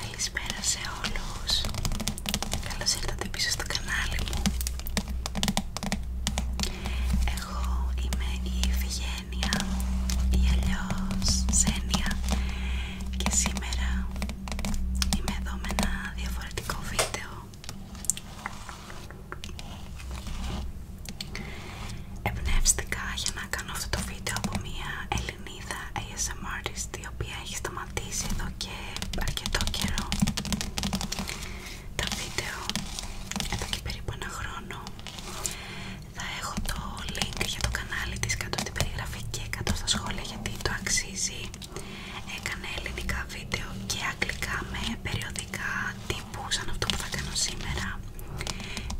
Καλησπέρα σε όλους. Καλώς ήρθατε πίσω στο κανάλι μου. Εγώ είμαι η Φιγένια ή αλλιώς Ζένια και σήμερα είμαι εδώ με ένα διαφορετικό βίντεο Εμπνεύστηκα για να κάνω αυτό το βίντεο από μια Ελληνίδα ASMR η οποία έχει σταματήσει εδώ και αρκετό καιρό τα βίντεο εδώ και περίπου ένα χρόνο θα έχω το link για το κανάλι της κάτω στην περιγραφή και κάτω στα σχόλια γιατί το αξίζει έκανε ελληνικά βίντεο και αγγλικά με περιοδικά που σαν αυτό που θα σήμερα.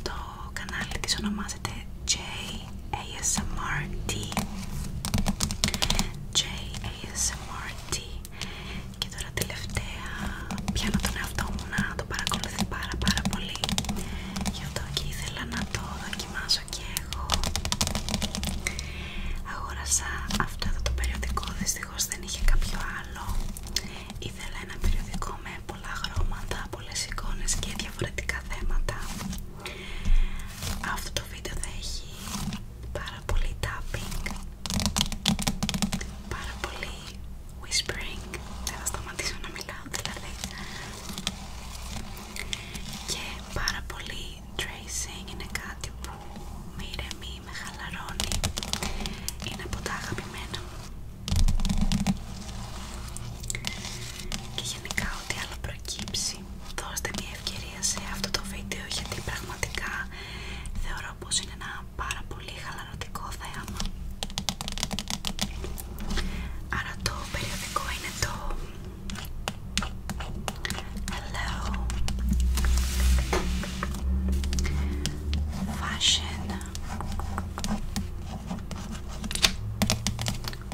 Το κανάλι της ονομάζεται JASMRT JASMRT και τώρα τελευταία πιάνω τον εαυτό μου να το παρακολουθεί πάρα πάρα πολύ γι' αυτό και ήθελα να το δοκιμάσω και εγώ αγόρασα αυτό το περιοδικό δυστυχώς δεν είχε κάποιο ήθελα ένα περιοδικό με πολλά χρώματα, πολλές εικόνες και διαφορετικά θέματα αυτό το βίντεο θα έχει πάρα πολύ tapping πάρα πολύ whispering δεν θα σταματήσω να μιλάω δηλαδή και πάρα πολύ tracing είναι κάτι που με ηρεμεί με χαλαρώνει είναι από τα αγαπημένα και γενικά ό,τι άλλο προκύψει δώστε μια ευκαιρία σε αυτό το βίντεο γιατί πραγματικά θεωρώ πως είναι ένα πάρα πολύ χαλαρωτικό θέαμα άρα το περιοδικό είναι το Hello fashion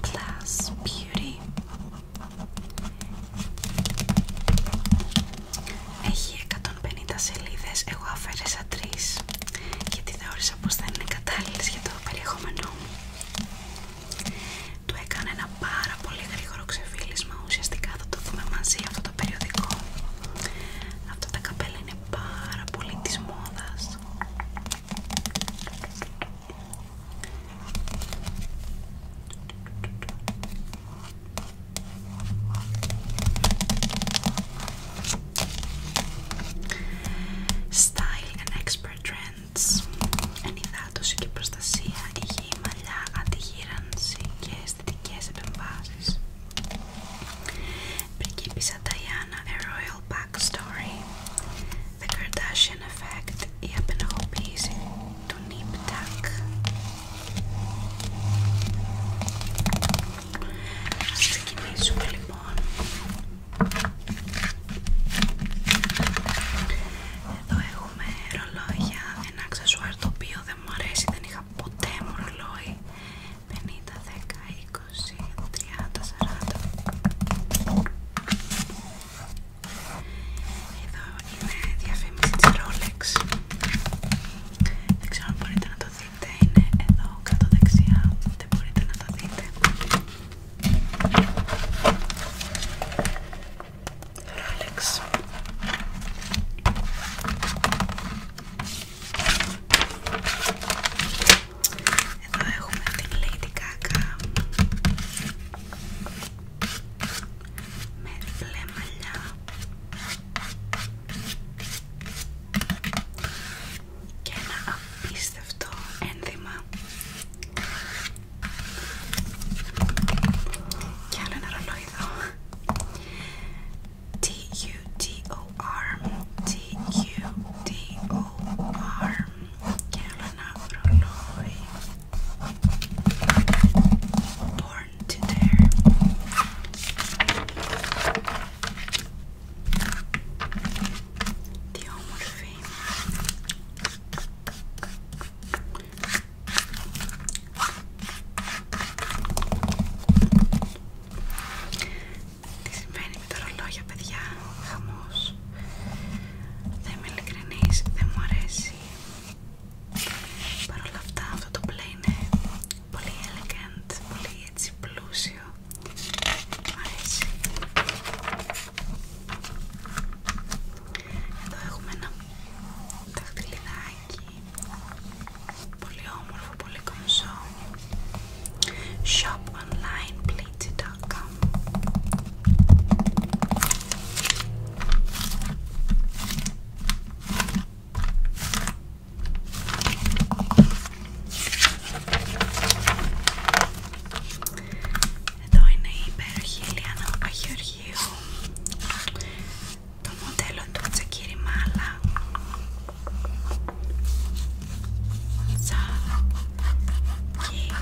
plus beauty. Έχει 150 σελίδες, εγώ αφαίρεσα τρεις γιατί θεώρησα πως δεν είναι κατάλληλες για το περιεχόμενό μου. Του έκανε ένα πάρα πολύ γρήγορο ξεφύλισμα, ουσιαστικά θα το δούμε μαζί αυτό το περιοδικό. Αυτά τα καπέλα είναι πάρα πολύ της μόδας. Style and expert trends. Ενυδάτωση και προστασία, υγιή μαλλιά, αντιγύρανση και αισθητικές επεμβάσεις. Πριγκίπισσα Diana, A Royal Backstory, The Kardashian Effect, η απενεχοποίηση του Νιπ Τακ. Ας ξεκινήσουμε λοιπόν. Εδώ έχουμε ρολόγια, ένα αξεσουάρ το οποίο δεν δεν μου αρέσει, δεν είχα ποτέ μου 50, 10, 20, 30, 40 Εδώ είναι διαφήμιση της Rolex Δεν ξέρω αν μπορείτε να το δείτε, είναι εδώ κάτω δεξιά, δεν μπορείτε να το δείτε εδώ έχουμε την Lady Gaga με μπλε μαλλιά. Και ένα απίστευτο ένδυμα. Και άλλο ένα ρολόι εδώ. T U T O R T U T O R Carolina Frolloy Born to Dare The Home of Τι συμβαίνει με τα ρολόγια, παιδιά, χαμός. δεν είμαι ειλικρινής, δεν μου αρέσει. Παρ' όλα αυτά αυτό το play είναι πολύ elegant, πολύ έτσι πλούσιο. μου αρέσει. Εδώ έχουμε ένα δαχτυλιδάκι Πολύ όμορφο, πολύ κομψό. Shop online pleated.com εδώ είναι η υπέροχη Λιάννα Παπαγεωργίου tu modello entonces quiere mala que es malas Pandora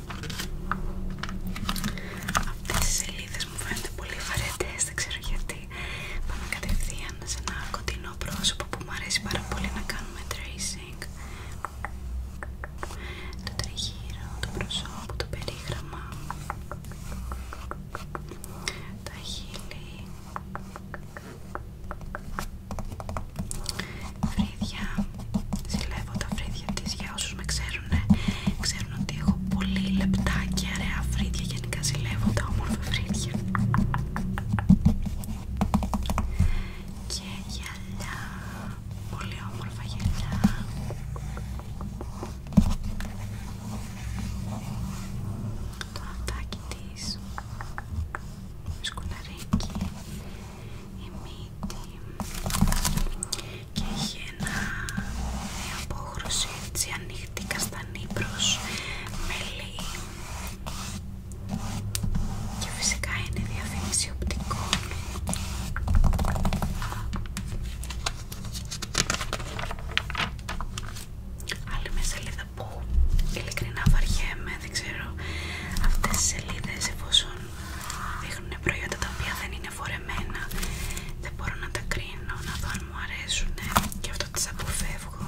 Αυτές οι σελίδες μου φαίνονται πολύ φαρετές, δεν ξέρω γιατί. Πάμε κατευθείαν σε ένα κοντινό πρόσωπο που μου αρέσει πάρα πολύ να κάνουμε tracing. Το τριγύρο, το πρόσωπο, το περίγραμμα, τα χείλη, Φρύδια, συλλέγω τα φρύδια της για όσους με ξέρουν ξέρουν, ότι έχω πολύ λεπτά και ωραία φρύδια. Γενικά ζηλεύω τα όμορφα φρύδια. Και γυαλιά, πολύ όμορφα γυαλιά. Το αυτάκι της, σκουναρίκι, η μύτη και έχει ένα, μια απόχρωση έτσι ανοιχτή καστανή προς μελί και φυσικά είναι διαφήμιση οπτικών Άλλη μια σελίδα που ειλικρινά βαριέμαι, δεν ξέρω αυτές τις σελίδες εφόσον δείχνουνε προϊόντα τα οποία δεν είναι φορεμένα δεν μπορώ να τα κρίνω, να δω αν μου αρέσουν και αυτό τις αποφεύγω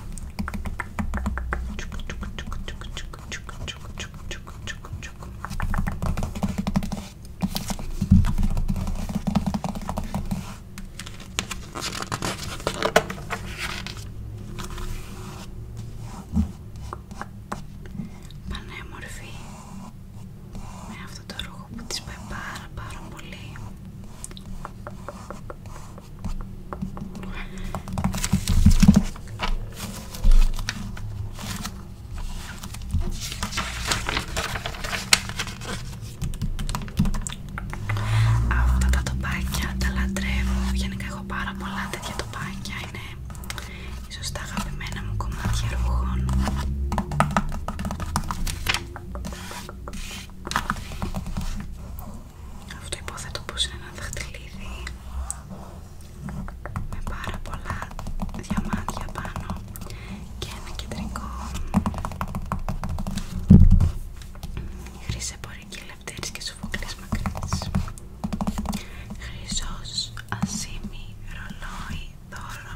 Πανέμορφη με αυτό το ρούχο που της παίρνει πάρα πάρα πολύ Αυτά τα τοπάκια τα λατρεύω, γενικά έχω πάρα πολλά τέτοια τοπάκια, είναι Σωστά, τα αγαπημένα μου κομμάτια ρούχων αυτό υποθέτω πως είναι ένα δαχτυλίδι με πάρα πολλά διαμάντια πάνω και ένα κεντρικό χρυσέ πορική λεπτήρης και σουφοκλής μακρύς χρυσός ασήμι ρολόι δώρο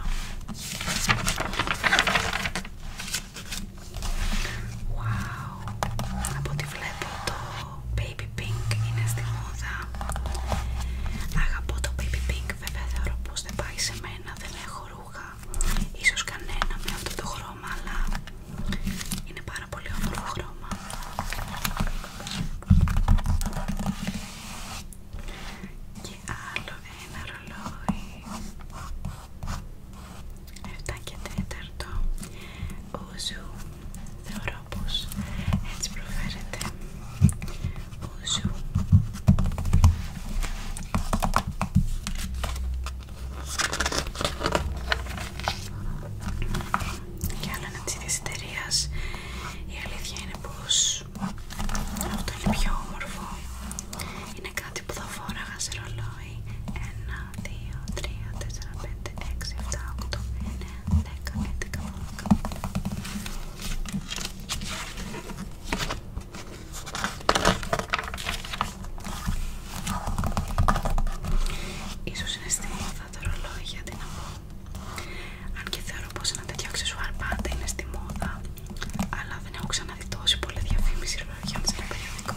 Wow. Από ό,τι βλέπω το Baby Pink είναι στη μόδα. Αγαπώ το Baby Pink, βέβαια θεωρώ πως δεν πάει σε μένα, δεν έχω ρούχα. Ίσως κανένα με αυτό το χρώμα, αλλά είναι πάρα πολύ όμορφο χρώμα και άλλο ένα ρολόι 7 και τέταρτο ούζου θεωρώ πως έτσι προφέρεται ούζου και άλλο ένα της ίδιας εταιρείας η αλήθεια είναι πως αυτό είναι πιο όμορφο. Είναι κάτι που θα φόραγα σε ρολόι. 1, 2, 3, 4, 5, 6, 7, 8, 9, 10, 11, 12. Ίσως είναι στιγμό θα το ρολόι για να πω αν και θεωρώ πως ένα τέτοιο αξεσουάρ πάντα είναι στη μόδα, αλλά δεν έχω ξαναδεί τόση πολλή διαφήμιση ρολόγιων σε ένα περιοδικό.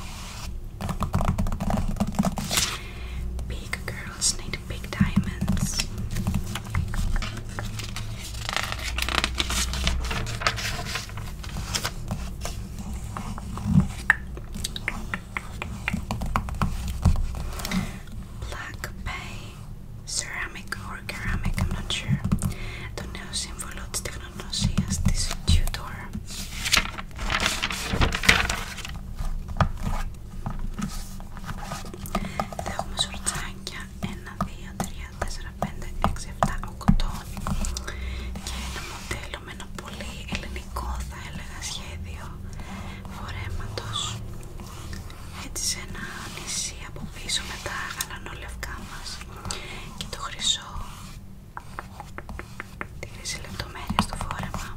Big girls need big diamonds. Black Bay ceramic or ceramic, I'm not sure, το νέο σύμβολο τη τεχνογνωσίας τη Tudor. Θα έχουμε σορτσάκια 1, 2, 3, 4, 5, 6, 7, 8 και ένα μοντέλο με ένα πολύ ελληνικό θα έλεγα σχέδιο φορέματος έτσι σε ένα νησί από πίσω με τα γαλανόλευκά μας και το χρυσό τη χρυσή λεπτομέρεια στο φόρεμα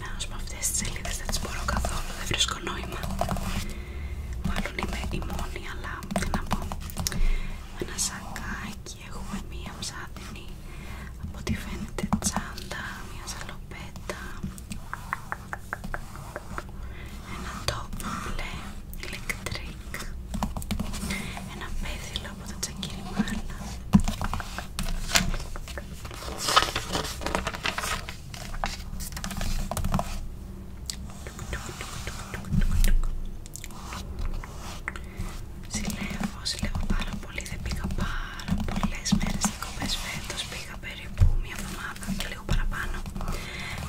να ως με αυτές τις σελίδες δεν τις μπορώ καθόλου, δεν βρίσκω νόημα Μάλλον είμαι η μόνη αλλά τι να πω Με ένα σακάκι εκεί έχουμε μία ψάτινη από τη φαίνεται τσάντα, μία σαλοπέτα ένα τόπο μπλε ηλεκτρικ ένα πέθυλο από τα τσακυριμάνα Συλλεύω, συλλεύω πάρα πολύ. Δεν πήγα πάρα πολλέ μέρε διακοπέ φέτο. Πήγα περίπου μία εβδομάδα και λίγο παραπάνω.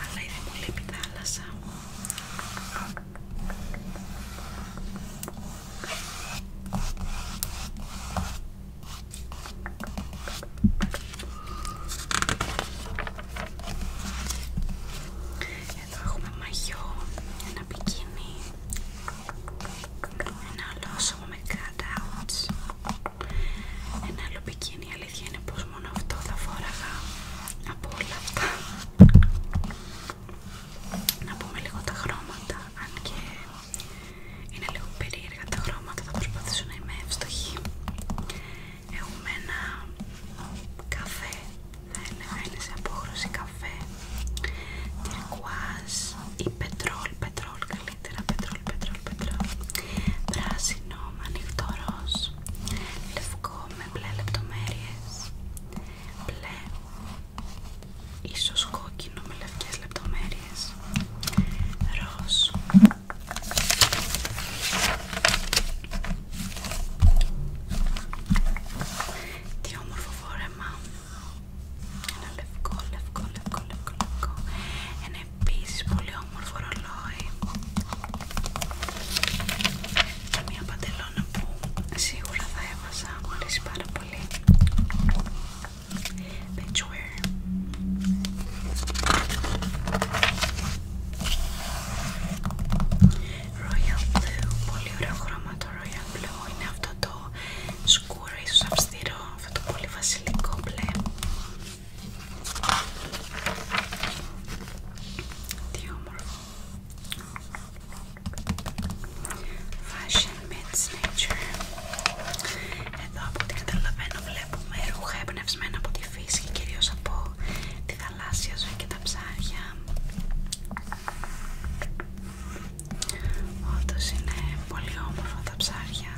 Αλλά ήδη μου λείπει η θάλασσα εδώ έχουμε μαγιό, ένα πικίνι, ένα άλλο με cutouts, ένα άλλο μπικίνι, Η αλήθεια είναι πως μόνο αυτό θα φόραγα από όλα αυτά. Να πούμε λίγο τα χρώματα, αν και είναι λίγο περίεργα τα χρώματα, θα προσπαθήσω να είμαι εύστοχη. Έχουμε ένα καφέ θα έλεγα είναι σε απόχρωση καφέ τυρκουάζ ή πετρόλ, πετρόλ καλύτερα, πετρόλ, πετρόλ, πετρόλ πράσινο με ανοιχτό ροζ, λευκό με μπλε λεπτομέρειες μπλε ίσως κόκκινο με λευκές λεπτομέρειες ροζ τι όμορφο φόρεμα. Ένα λευκό, λευκό, λευκό, λευκό, Ένα επίσης πολύ όμορφο ρολόι. Και μια παντελώνα που σίγουρα θα έβαζα. Μου αρέσει πάρα πολύ. Benchwear. Royal Blue, πολύ ωραίο χρώμα το Royal Blue, είναι αυτό το σκούρο ίσως αυστηρό, αυτό το πολύ βασιλικό μπλε. Τι όμορφο. Fashion meets nature. Εδώ από ό,τι καταλαβαίνω βλέπουμε ρούχα εμπνευσμένα από τη φύση και κυρίως από τη θαλάσσια ζωή τα ψάρια όντως είναι πολύ όμορφα τα ψάρια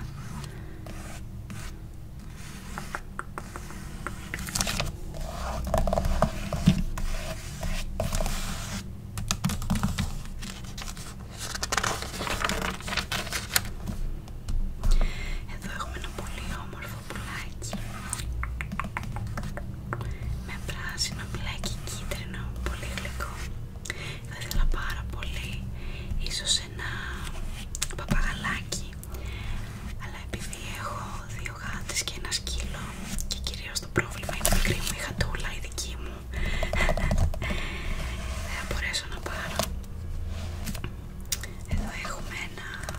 εδώ έχουμε ένα πολύ όμορφο όμορφο πουλάκι με πράσινο, μπλάκι, κίτρινο, πολύ γλυκό. Θα ήθελα πάρα πολύ ίσως ένα παπαγαλάκι αλλά επειδή έχω δύο γάτες και ένα σκύλο και κυρίως το πρόβλημα είναι μικρή μου η χατούλα η δική μου δεν θα μπορέσω να πάρω εδώ έχουμε ένα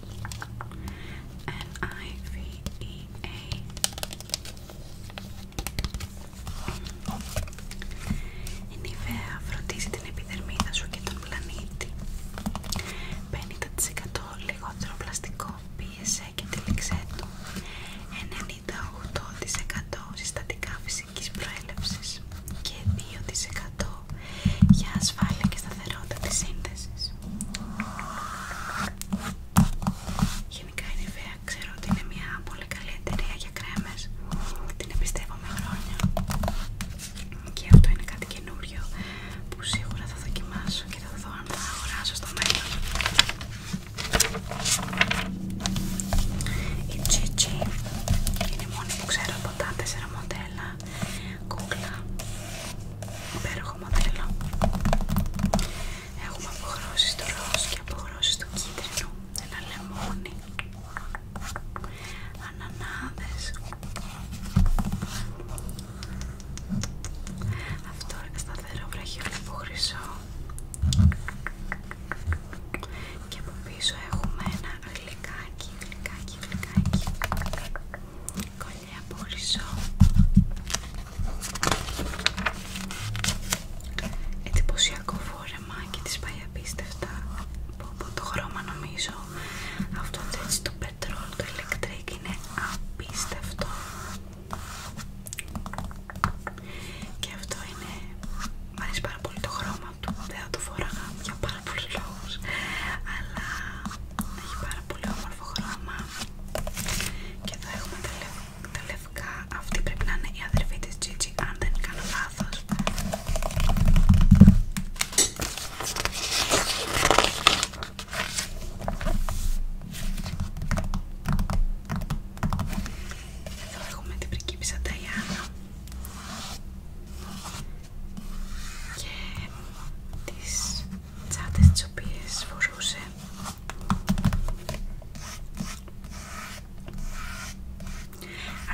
n i Η e. e, φροντίζει την επιδερμίδα σου και τον πλανήτη 50% λιγότερο πλαστικό πίεσε και τυλίξέ του 98% συστατικά φυσικής προέλευσης και 2% για ασφάλεια και σταθερότητα της σύνθεσης Γενικά η Νιβέα ξέρω ότι είναι μια πολύ καλή εταιρεία για κρέμες την εμπιστεύομαι χρόνια και αυτό είναι κάτι καινούριο που σίγουρα θα δοκιμάσω και θα δω αν θα αγοράσω στο μέλλον η Gigi είναι η μόνη που ξέρω από τα τέσσερα μοντέλα κούκλα. Υπέροχο μοντέλο. Έχουμε αποχρώσεις στο ροζ και αποχρώσεις του κίτρινο. Ένα λεμόνι. Ανανάδες. Αυτό είναι σταθερό βραχιόλιβο χρυσό. Και από πίσω έχουμε ένα γλυκάκι, γλυκάκι, γλυκάκι. κολλή είναι από εντυπωσιακό φόρεμα και τις πάει απίστευτα από το χρώμα νομίζω αυτό έτσι το πετρόλ, το ηλεκτρικ είναι απίστευτο και αυτό είναι, μου αρέσει πάρα πολύ το χρώμα του, δεν θα το φοράγα για πάρα αλλά έχει πάρα πολύ όμορφο χρώμα και εδώ έχουμε τα, λευκά αυτή πρέπει να είναι η αδερφή της Gigi αν δεν κάνω λάθος εδώ έχουμε την πριγκίπισσα Ταϊάννα και της τσάντες τις οποίες φορούσε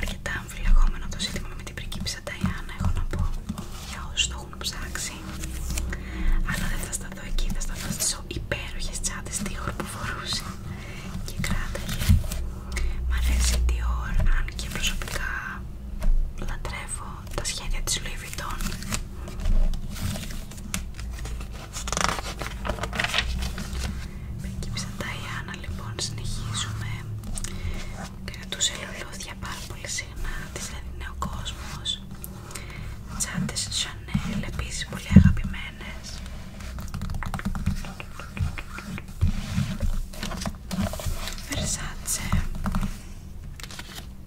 αρκετά αμφιλεγόμενο το ζήτημα με την πριγκίπισσα Ταϊάννα έχω να πω για όσους το έχουν ψάξει αλλά δεν θα σταθώ εκεί, θα σταθώ στις υπέροχες τσάντες Dior που φορούσε και κράταγε μ' αρέσει η αν και προσωπικά λατρεύω τα σχέδια της Louis Vuitton. Περικύψα τα Ιάννα λοιπόν, συνεχίζουμε. Κρατούσε λουλούδια πάρα πολύ συχνά, της δηλαδή είναι ο κόσμος. Τσάντες επίσης πολύ αγαπημένες. Βερσάτσε.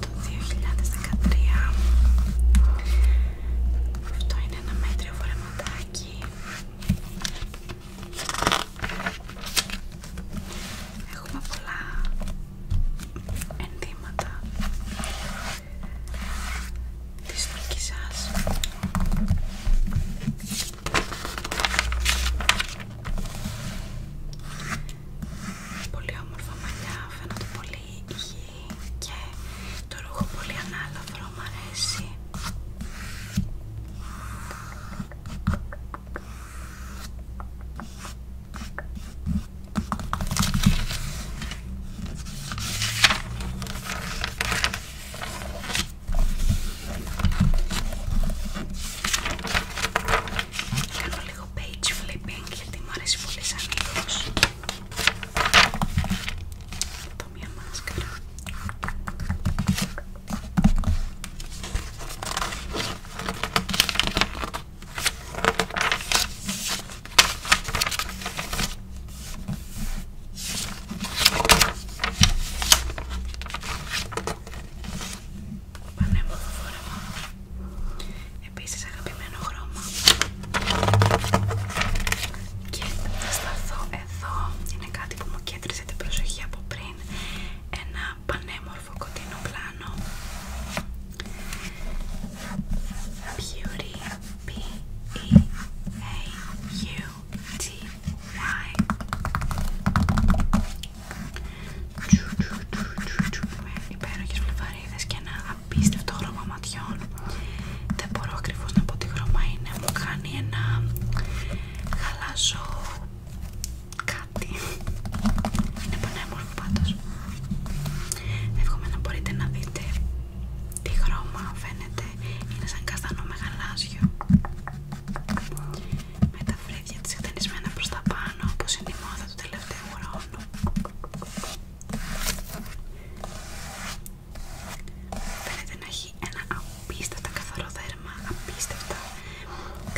το του 2013 Αυτό είναι ένα μέτριο φορεματάκι Έχουμε πολλά ενδύματα της σα. Πολύ όμορφα μαλλιά, φαίνονται πολύ υγιή και το ρούχο πολύ ανάλαφρο μου αρέσει Κάνω λίγο page flipping γιατί μου αρέσει πολύ σαν είδος. Εδώ μια μάσκαρα. Πανέμορφο φορεμό. Επίσης αγαπημένο χρώμα. Και θα σταθώ εδώ. Είναι κάτι που μου κέντρισε την προσοχή από πριν. Ένα πανέμορφο κοντινό πλάνο. Beauty B E A U T Y. Υπέροχες και ένα το χρώμα ματιών. Δεν μπορώ ακριβώς να πω τι χρώμα είναι. Μου κάνει ένα χαλάζο κάτι. Είναι πανέμορφο πάντως. Εύχομαι να μπορείτε να δείτε τι χρώμα φαίνεται. Είναι σαν καστανό με γαλάζιο. Με τα φρύδια της εκτενισμένα προς τα πάνω όπως είναι η μόδα του τελευταίου χρόνου. Φαίνεται να έχει ένα απίστευτα καθαρό δέρμα, απίστευτα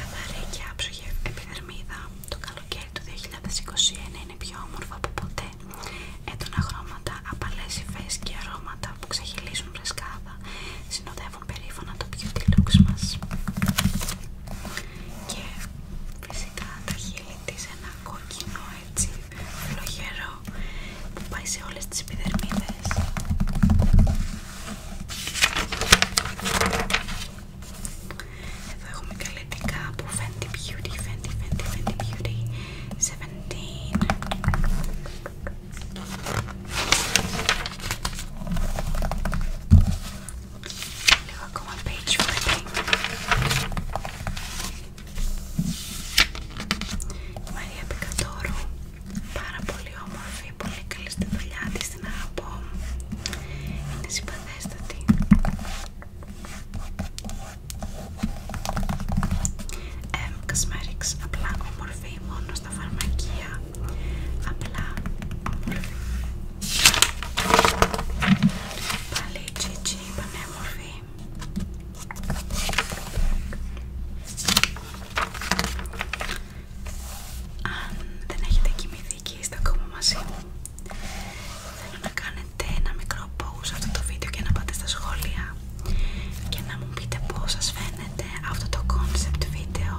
καθαρή και άψογη επιδερμίδα. Το καλοκαίρι του 2021 είναι πιο όμορφο από ποτέ. Έντονα χρώματα, απαλές υφές και αρώματα που ξεχυλίζουν φρεσκάδα συνοδεύουν περίφωνα το beauty looks μας. Και φυσικά τα στήλη της ένα κόκκινο έτσι φλογερό που πάει σε όλες τις επιδερμίδες εδώ έχουμε καλετικά από Fenty Beauty, Fenty, Fenty, Fenty Beauty 17 Λίγο ακόμα page flipping. Η Μαρία Πικατόρου, πάρα πολύ όμορφη, πολύ καλή στη δουλειά τη την αγαπώ. Είναι συμπαθέστατη. Ε, M. Κασμέριξ. απλά όμορφη, μόνο στα φαρμακεία. Απλά όμορφη. Πάλι τσί πανέμορφη. Αν δεν έχετε κοιμηθεί και είστε ακόμα μαζί μου, θέλω να κάνετε ένα μικρό pause αυτό το βίντεο και να πάτε στα σχόλια και να μου πείτε πώς σας φαίνεται αυτό το concept βίντεο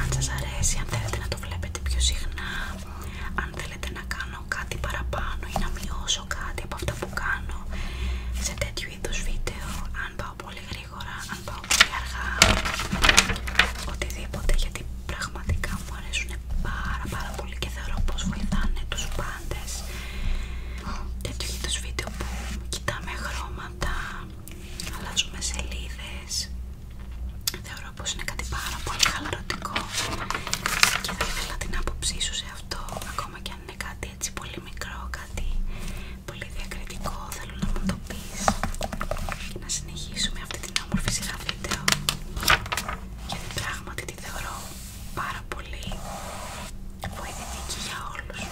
αν σας αρέσει, αν θέλετε να το βλέπετε πιο συχνά αν θέλετε να κάνω κάτι παραπάνω ή να μειώσω κάτι από αυτά που κάνω σε τέτοιου είδους βίντεο αν πάω πολύ γρήγορα, αν πάω πολύ αργά οτιδήποτε γιατί πραγματικά μου αρέσουν πάρα πάρα πολύ και θεωρώ πως βοηθάνε τους πάντες τέτοιου είδους βίντεο που κοιτάμε χρώματα αλλάζουμε σελίδες Θεωρώ πως είναι κάτι πάρα πολύ χαλαρωτικό και θα ήθελα την άποψή σου σε αυτό ακόμα και αν είναι κάτι έτσι πολύ μικρό, κάτι πολύ διακριτικό θέλω να μου το πεις και να συνεχίσουμε αυτή την όμορφη σειρά βίντεο γιατί πράγματι τη θεωρώ πάρα πολύ βοηθητική για όλους.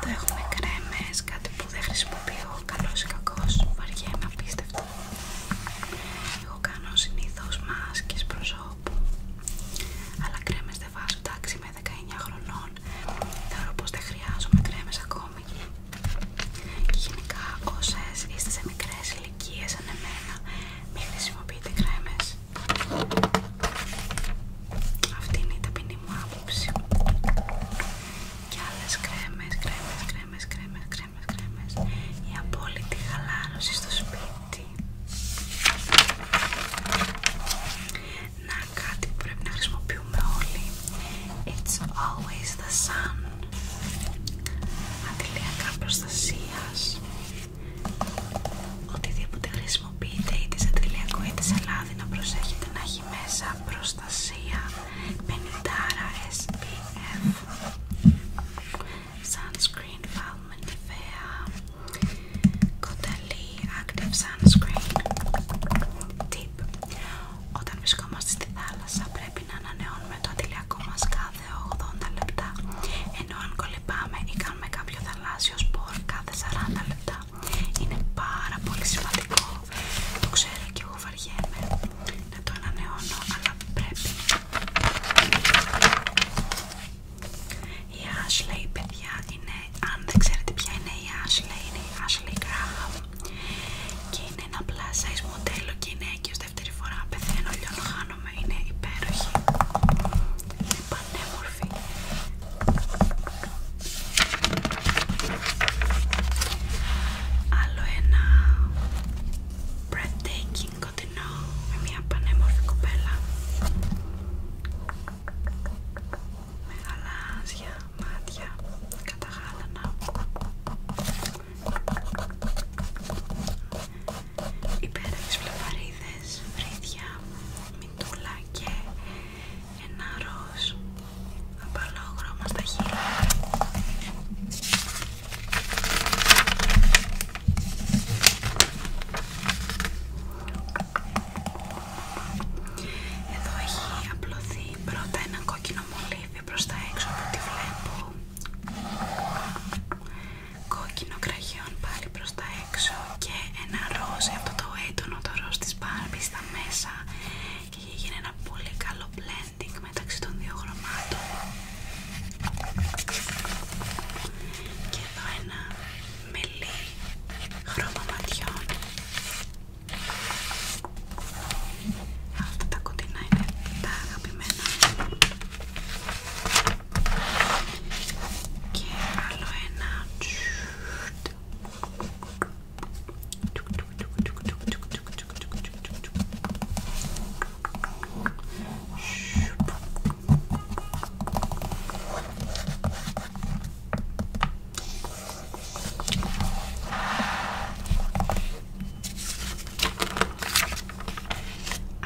το έχουμε κρέμες, κάτι πολύ δεν χρησιμοποιώ, καλός ή κακός, βαριέμαι απίστευτο Εγώ κάνω συνήθως μάσκες προσώπου, αλλά κρέμες δεν βάζω, εντάξει με 19 χρονών, θεωρώ πως δεν χρειάζομαι κρέμες ακόμη. Και γενικά όσες είστε σε μικρές ηλικίες σαν εμένα, μην χρησιμοποιείτε κρέμες. Αυτή είναι η ταπεινή μου άποψη. Και άλλες κρέμες, κρέμες, κρέμες κρέμες, κρέμες, κρέμες, κρέμες η απόλυτη χαλάρωση στο σπίτι να κάτι πρέπει να χρησιμοποιούμε όλοι It's always the sun αντιλιακά προστασίας οτιδήποτε χρησιμοποιείτε είτε σε αντιλιακό είτε σε λάδι να προσέχετε να έχει μέσα προστασία Πενητάρα SPF Sunscreen Valment Κονταλή Active Sunscreen Tip Όταν βρισκόμαστε στη θάλασσα πρέπει να ανανεώνουμε το αντιλιακό μας κάθε 80 λεπτά ενώ αν κολυπάμε ή κάνουμε κάποιο θαλάσσιο σπορ κάθε 40 λεπτά είναι πάρα πολύ σημαντικό το ξέρω και εγώ να το ανανεώνω, αλλά πρέπει. Η Ashley, παιδιά, είναι, αν δεν ξέρετε ποια είναι η Ashley, είναι η Ashley Graham και είναι ένα πλάσα, size μοντέλο και είναι και ως δεύτερη φορά πεθαίνω, λιώνω, χάνομαι, είναι υπέροχη, είναι πανέμορφη. Άλλο ένα breathtaking κοντινό με μια πανέμορφη κοπέλα. Με γαλάζια μάτια καταχάλανα, Υπέροχες φλεβαρίδες, βρίδια μυτούλα και ένα ροζ απαλό χρώμα στα χείλη εδώ έχει απλωθεί πρώτα ένα κόκκινο μολύβι προς τα έξω που τη βλέπω κόκκινο κραγιόν πάλι προς τα έξω και ένα ροζ από το έντονο το ροζ της Barbie στα μέσα και γίνει ένα πολύ καλό blending μεταξύ των δύο χρωμάτων και εδώ ένα μελί χρώμα ματιών αυτά τα κοντινά είναι τα αγαπημένα και άλλο ένα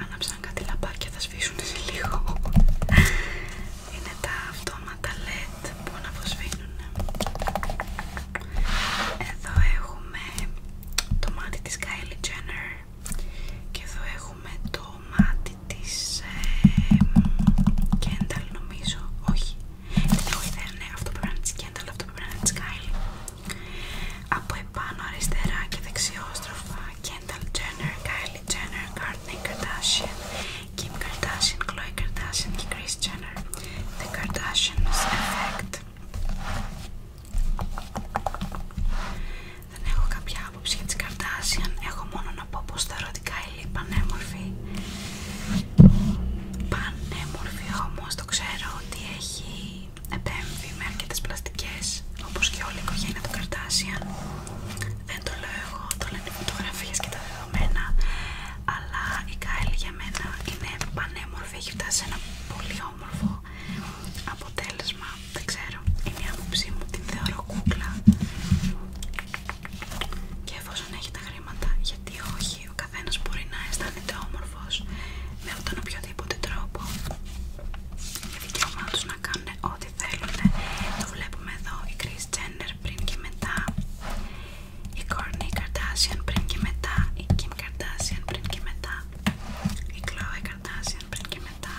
Άναψαν κάτι λαμπάκια, θα σβήσουν σε λίγο. Είναι τα αυτόματα λέει που να ναι. Εδώ έχουμε το μάτι της Kylie Jenner και εδώ έχουμε το μάτι της ε, Kendall νομίζω, όχι δεν είναι αυτό πρέπει να είναι της Kendall, αυτό πρέπει να είναι της Kylie από επάνω αριστερά και δεξιόστροφα Kendall Jenner, Kylie Jenner, Kourtney Kardashian Kim Kardashian, Khloe Kardashian και Kris Jenner The Kardashians Effect. Δεν έχω κάποια άποψη για τις Kardashian, έχω μόνο να πω πως τα ερωτικά είναι πανέμορφη. Πανέμορφη όμως το ξέρω ότι έχει επέμβει με αρκετές πλαστικές, όπως και όλη η οικογένεια του Kardashian. Δεν το λέω εγώ, το λένε οι φωτογραφίες και τα δεδομένα αλλά η Κάιλ για μένα είναι πανέμορφη, έχει φτάσει σε ένα πολύ όμορφο αποτέλεσμα, δεν ξέρω, είναι η άποψή μου, την θεωρώ κούκλα και εφόσον έχει τα χρήματα, γιατί όχι, ο καθένας μπορεί να αισθάνεται όμορφος με τον οποιοδήποτε τρόπο είναι δικαίωμά τους να κάνουν ό,τι θέλουν το βλέπουμε εδώ η Chris πριν και μετά η Kourtney Καρτάσιαν πριν και μετά, η Κιμ Καρτάσιαν πριν και μετά, η Khloe Καρτάσιαν πριν και μετά,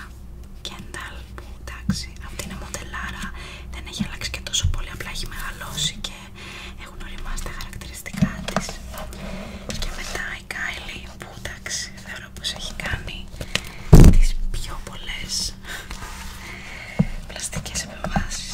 Κένταλ που εντάξει αυτή είναι μοντελάρα, δεν έχει αλλάξει και τόσο πολύ, απλά έχει μεγαλώσει και έχουν οριμάσει τα χαρακτηριστικά της και μετά η Κάιλι που εντάξει θεωρώ πως έχει κάνει τις πιο πολλές πλαστικές επεμβάσεις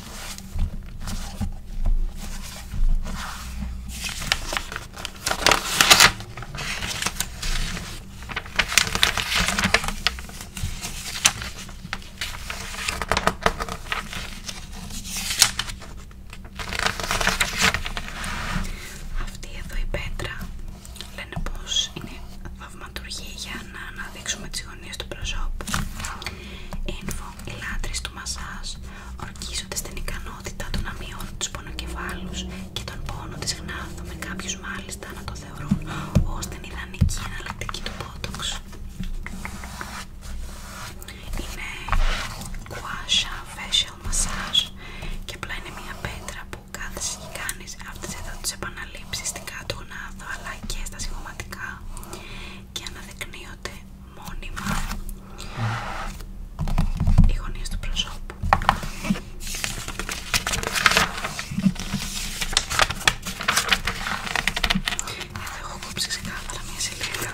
Αυτή εδώ η πέτρα λένε πως είναι για να αναδείξουμε τις γωνίες του προσώπου. Info, οι λάτρεις του μασάζ ορκίζονται στην ικανότητα του να μειώνουν τους πονοκεφάλους και τον πόνο της γνάθου με κάποιους μάλιστα να το θεωρούν ως την ιδανική εναλλακτική του πότοξ. Είναι κουάσια facial massage και απλά είναι μια πέτρα που κάθεσαι και κάνεις αυτές εδώ τις στην κάτω γνάθο αλλά και στα συγχωματικά και αναδεικνύονται μόνιμα οι γωνίες του προσώπου. Εδώ έχω κόψει ξεκάθαρα μια σελίδα.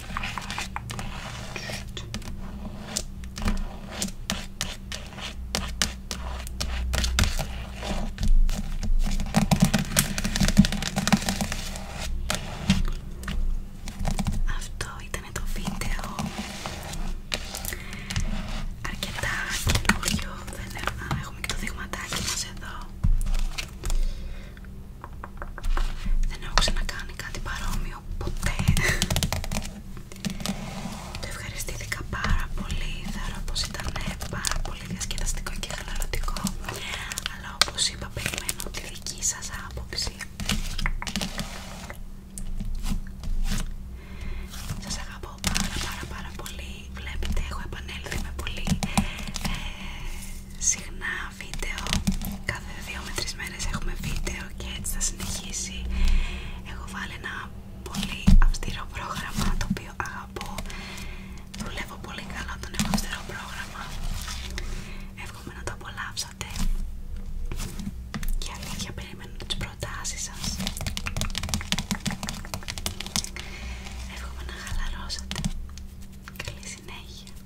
Αυτό ήταν το βίντεο. Αρκετά καινούριο. Δεν έχουμε και το δείγματάκι μας εδώ. Δεν έχω ξανακάνει κάτι παρόμοιο ποτέ. Το ευχαριστήθηκα πάρα πολύ. Θεωρώ πως ήταν πάρα πολύ διασκεδαστικό και χαλαρωτικό. Αλλά όπως είπα, περιμένω τη δική σας άποψη. Σας αγαπώ πάρα πάρα πάρα πολύ. Βλέπετε, έχω επανέλθει με πολύ ε, συχνά βίντεο. Κάθε δύο με τρεις μέρες έχουμε βίντεο και έτσι θα συνεχίσει. Έχω βάλει ένα πολύ αυστηρό πρόγραμμα το οποίο αγαπώ. Δουλεύω πολύ καλά το νέο αυστηρό πρόγραμμα. Εύχομαι να το απολαύσατε. Και αλήθεια περιμένω τις προτάσεις σας. Εύχομαι να χαλαρώσετε. Καλή συνέχεια.